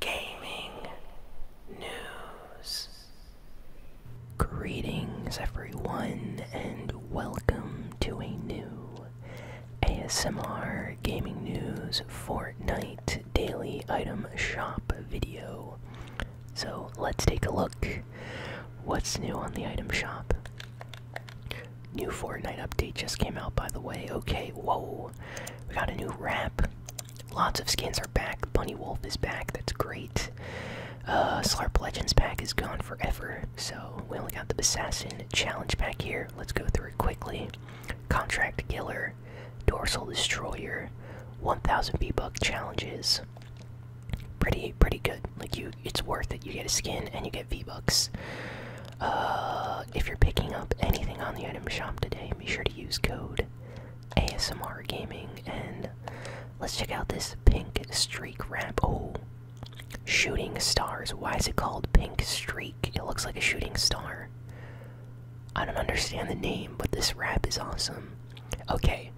gaming news. Greetings, everyone, and welcome to a new ASMR Gaming News Fortnite Daily Item Shop video. So let's take a look. What's new on the item shop? New Fortnite update just came out, by the way. Okay, whoa. We got a new ramp. Lots of skins are back. Bunny Wolf is back. That's great. Uh, Slarp Legends pack is gone forever, so we only got the Assassin Challenge pack here. Let's go through it quickly. Contract Killer, Dorsal Destroyer, 1,000 V-Buck challenges. Pretty, pretty good. Like you, it's worth it. You get a skin and you get V-Bucks. Uh, if you're picking up anything on the item shop today, be sure to use code ASMR Gaming. And let's check out this pink streak wrap. Oh, shooting stars. Why is it called pink streak? It looks like a shooting star. I don't understand the name, but this wrap is awesome. Okay,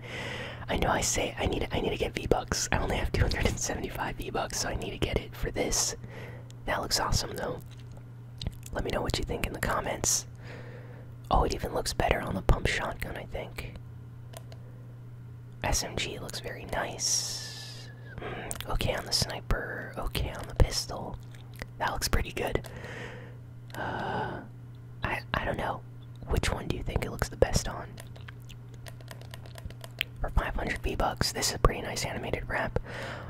I know I say I need I need to get V Bucks. I only have 275 V Bucks, so I need to get it for this. That looks awesome though. Let me know what you think in the comments. Oh, it even looks better on the pump shotgun, I think. SMG looks very nice. Mm, okay on the sniper, okay on the pistol. That looks pretty good. Uh, I, I don't know. Which one do you think it looks the best on? For 500 V-Bucks. This is a pretty nice animated wrap.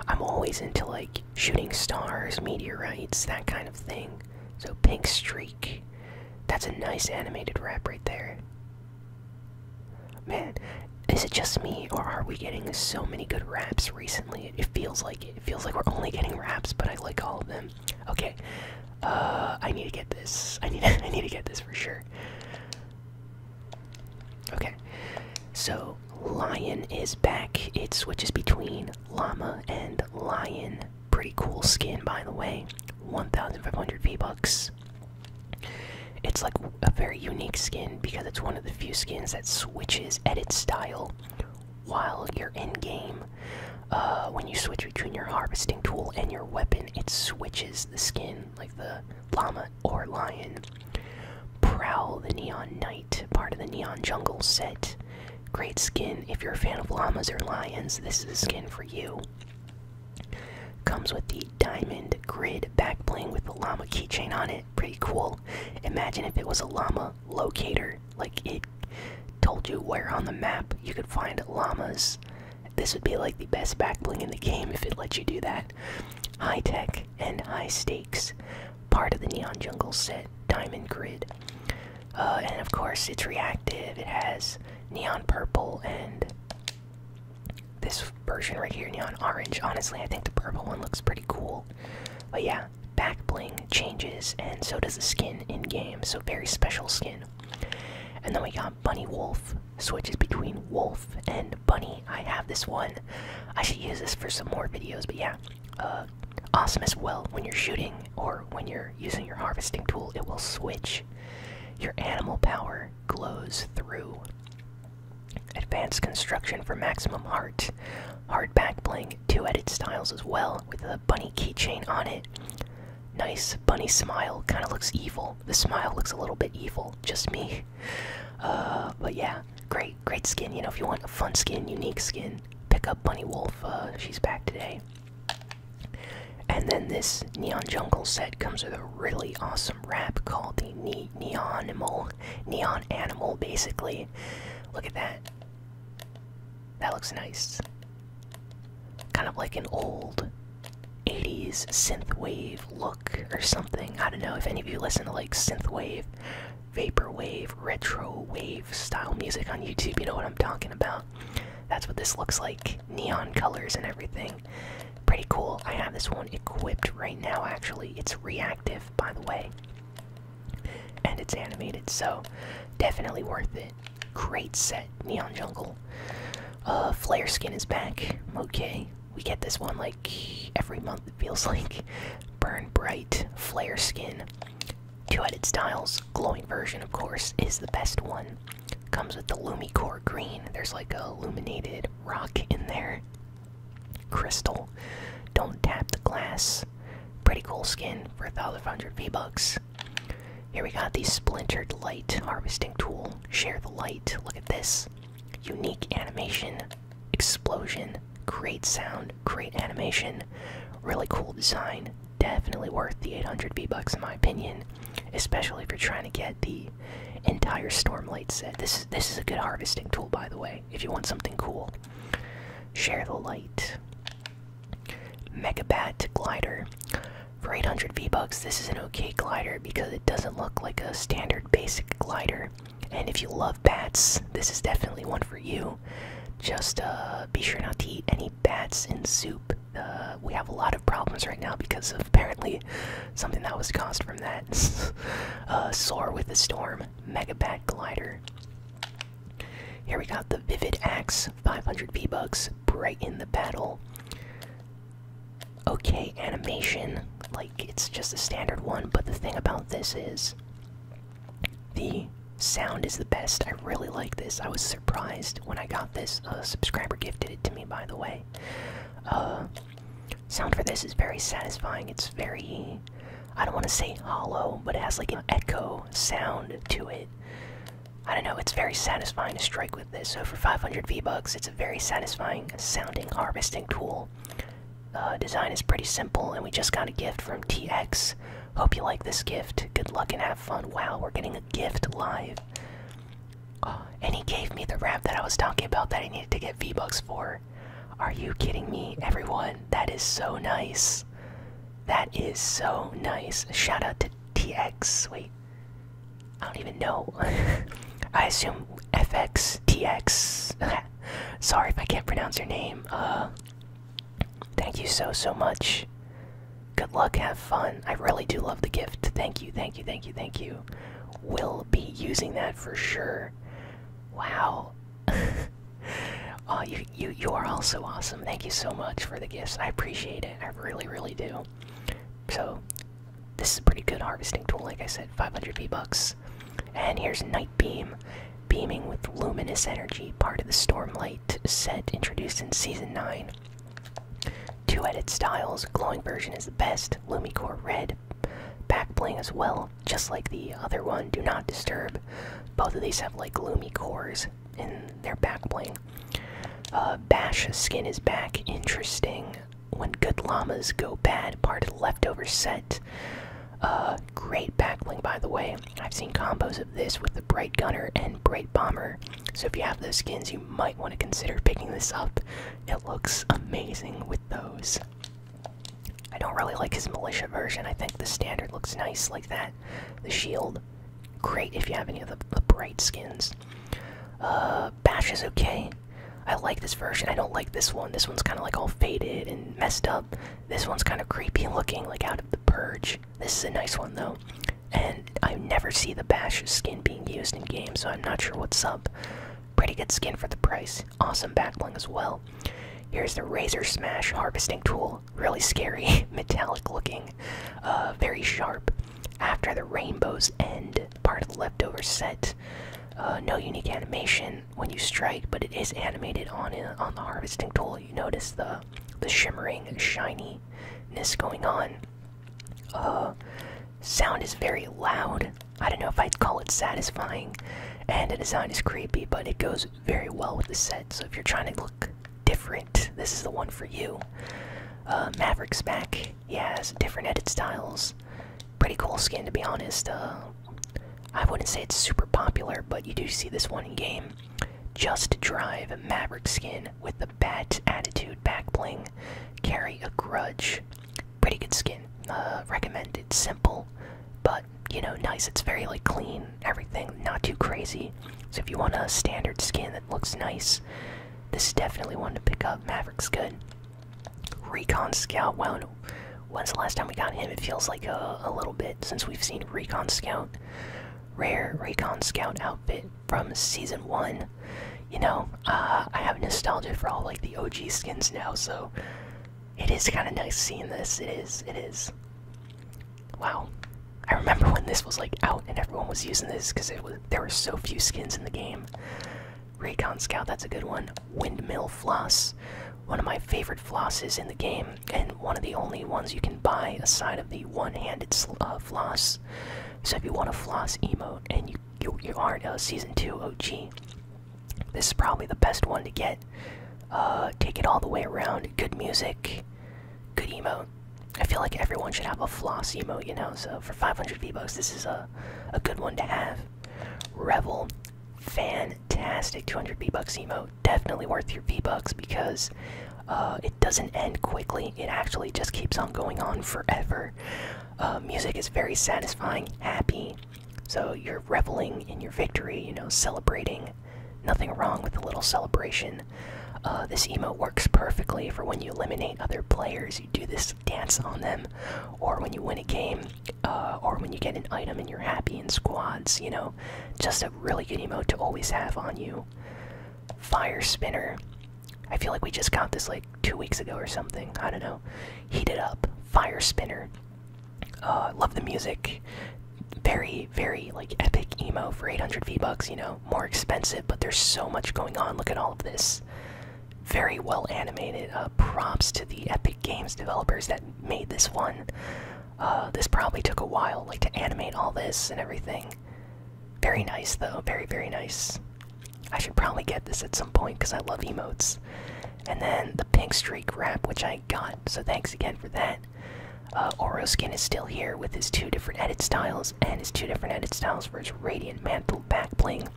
I'm always into like shooting stars, meteorites, that kind of thing. So Pink Streak. That's a nice animated wrap right there. Man, is it just me or are we getting so many good raps recently? It feels like it. feels like we're only getting raps, but I like all of them. Okay. Uh, I need to get this. I need I need to get this for sure. Okay, so lion is back. It switches between llama and lion. Pretty cool skin, by the way. 1,500 V bucks. It's like a very unique skin because it's one of the few skins that switches edit style while you're in game. Uh, when you switch between your harvesting tool and your weapon, it switches the skin. Like the llama or lion. Prowl the Neon night. part of the Neon Jungle set. Great skin. If you're a fan of llamas or lions, this is a skin for you. Comes with the diamond grid back with the llama keychain on it. Pretty cool. Imagine if it was a llama locator. Like it told you where on the map you could find llamas this would be like the best back bling in the game if it lets you do that. High tech and high stakes. Part of the Neon Jungle set, Diamond Grid. Uh, and of course, it's reactive. It has neon purple and this version right here, neon orange. Honestly, I think the purple one looks pretty cool. But yeah, back bling changes, and so does the skin in game. So, very special skin. And then we got uh, bunny Wolf switches between Wolf and Bunny. I have this one. I should use this for some more videos, but yeah. Uh, awesome as well when you're shooting or when you're using your harvesting tool, it will switch. Your animal power glows through. Advanced construction for maximum heart. Hardback bling, two edit styles as well, with a bunny keychain on it nice bunny smile. Kind of looks evil. The smile looks a little bit evil. Just me. Uh, but yeah, great, great skin. You know, if you want a fun skin, unique skin, pick up Bunny Wolf. Uh, she's back today. And then this Neon Jungle set comes with a really awesome wrap called the ne Animal, Neon Animal, basically. Look at that. That looks nice. Kind of like an old 80s synthwave look or something. I don't know if any of you listen to like synthwave, vaporwave, retro wave style music on YouTube. You know what I'm talking about. That's what this looks like. Neon colors and everything. Pretty cool. I have this one equipped right now actually. It's reactive by the way. And it's animated, so definitely worth it. Great set, Neon Jungle. Uh, Flare Skin is back. Okay, we get this one like every month, it feels like. Burn Bright, Flare Skin. Two headed styles, glowing version, of course, is the best one. Comes with the Lumicore Green. There's like a illuminated rock in there. Crystal. Don't tap the glass. Pretty cool skin for 1,500 V-Bucks. Here we got the splintered light harvesting tool. Share the light. Look at this. Unique animation, explosion, great sound, great animation, really cool design. Definitely worth the 800 V bucks in my opinion, especially if you're trying to get the entire storm light set. This this is a good harvesting tool, by the way. If you want something cool, share the light. Megabat Glider. For 800 V-Bucks, this is an okay glider because it doesn't look like a standard basic glider. And if you love bats, this is definitely one for you. Just uh, be sure not to eat any bats in soup. Uh, we have a lot of problems right now because of apparently something that was caused from that. uh, soar with the storm, Megabat Glider. Here we got the Vivid Axe, 500 V-Bucks brighten the battle. Okay, animation, like it's just a standard one, but the thing about this is the sound is the best. I really like this. I was surprised when I got this. A subscriber gifted it to me, by the way. Uh, sound for this is very satisfying. It's very. I don't want to say hollow, but it has like an echo sound to it. I don't know, it's very satisfying to strike with this. So for 500 V-Bucks, it's a very satisfying sounding harvesting tool. Uh, design is pretty simple, and we just got a gift from TX. Hope you like this gift. Good luck and have fun. Wow, we're getting a gift live. Oh, and he gave me the ramp that I was talking about that I needed to get V-Bucks for. Are you kidding me, everyone? That is so nice. That is so nice. Shout out to TX. Wait, I don't even know. I assume FX, TX. Sorry if I can't pronounce your name. Uh, thank you so, so much. Good luck, have fun. I really do love the gift. Thank you, thank you, thank you, thank you. Will be using that for sure. Wow. Oh, you you you are also awesome. Thank you so much for the gifts. I appreciate it. I really really do. So, this is a pretty good harvesting tool. Like I said, 500 V bucks. And here's Nightbeam, beaming with luminous energy, part of the Stormlight set introduced in season nine. Two edit styles. Glowing version is the best. LumiCore Red, back bling as well just like the other one, Do Not Disturb. Both of these have like gloomy cores in their backplane. Uh, Bash's skin is back. Interesting. When good llamas go bad, part of the leftover set. Uh, great backbling, by the way. I've seen combos of this with the Bright Gunner and Bright Bomber. So if you have those skins, you might want to consider picking this up. It looks amazing with those. I don't really like his militia version. I think the standard looks nice like that. The shield, great if you have any of the, the bright skins. Uh, Bash is okay. I like this version. I don't like this one. This one's kind of like all faded and messed up. This one's kind of creepy looking, like out of the purge. This is a nice one though. And I never see the Bash skin being used in games, so I'm not sure what's up. Pretty good skin for the price. Awesome backbling as well. Here's the Razor Smash harvesting tool. Really scary, metallic looking, uh, very sharp. After the rainbows end, part of the leftover set. Uh, no unique animation when you strike, but it is animated on on the harvesting tool. You notice the the shimmering ness going on. Uh, sound is very loud. I don't know if I'd call it satisfying, and the design is creepy, but it goes very well with the set. So if you're trying to look different, this is the one for you. Uh, Maverick's back. He has different edit styles. Pretty cool skin, to be honest. Uh, I wouldn't say it's super popular, but you do see this one in game. Just drive Maverick skin with the bat attitude back bling. Carry a grudge pretty good skin. Uh, recommend it's simple, but you know, nice. It's very like clean, everything, not too crazy. So if you want a standard skin that looks nice, this is definitely one to pick up. Maverick's good. Recon Scout. Wow, when's the last time we got him? It feels like a, little bit since we've seen Recon Scout. Rare Recon Scout outfit from season one. You know, uh, I have nostalgia for all like the OG skins now, so it is kind of nice seeing this. It is. It is. Wow. I remember when this was like out and everyone was using this because it was there were so few skins in the game. Recon Scout, that's a good one. Windmill Floss, one of my favorite flosses in the game, and one of the only ones you can buy aside of the one-handed uh, floss. So if you want a floss emote and you you, you aren't a season two OG, this is probably the best one to get. Uh, take it all the way around. Good music, good emo. I feel like everyone should have a floss emo, you know. So for 500 V bucks, this is a a good one to have. Revel, fantastic 200 V bucks emote. Definitely worth your V bucks because uh, it doesn't end quickly. It actually just keeps on going on forever. Uh, music is very satisfying, happy. So you're reveling in your victory, you know, celebrating. Nothing wrong with a little celebration. Uh, this emote works perfectly for when you eliminate other players. You do this dance on them, or when you win a game, uh, or when you get an item and you're happy in squads. You know, just a really good emote to always have on you. Fire spinner. I feel like we just got this like two weeks ago or something. I don't know. Heat it up, fire spinner. Uh, love the music. Very, very like epic emo for 800 V bucks. You know, more expensive, but there's so much going on. Look at all of this. Very well animated. Uh, props to the Epic Games developers that made this one. Uh, this probably took a while, like to animate all this and everything. Very nice though. Very, very nice. I should probably get this at some point because I love emotes. And then the pink streak wrap, which I got, so thanks again for that. Uh, Oroskin is still here with his two different edit styles and his two different edit styles for his Radiant Mantle back backbling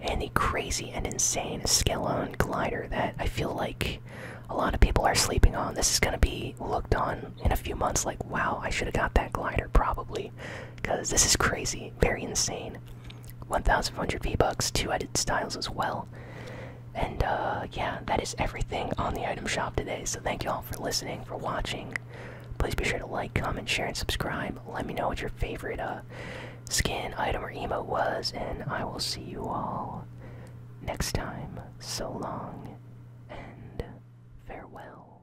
and the crazy and insane Skelon glider that I feel like a lot of people are sleeping on. This is going to be looked on in a few months like, wow, I should have got that glider probably because this is crazy, very insane. 1,500 V bucks, two edit styles as well. And uh, yeah, that is everything on the item shop today. So thank you all for listening, for watching. Please be sure to like, comment, share, and subscribe. Let me know what your favorite uh, skin, item, or emote was, and I will see you all next time. So long and farewell.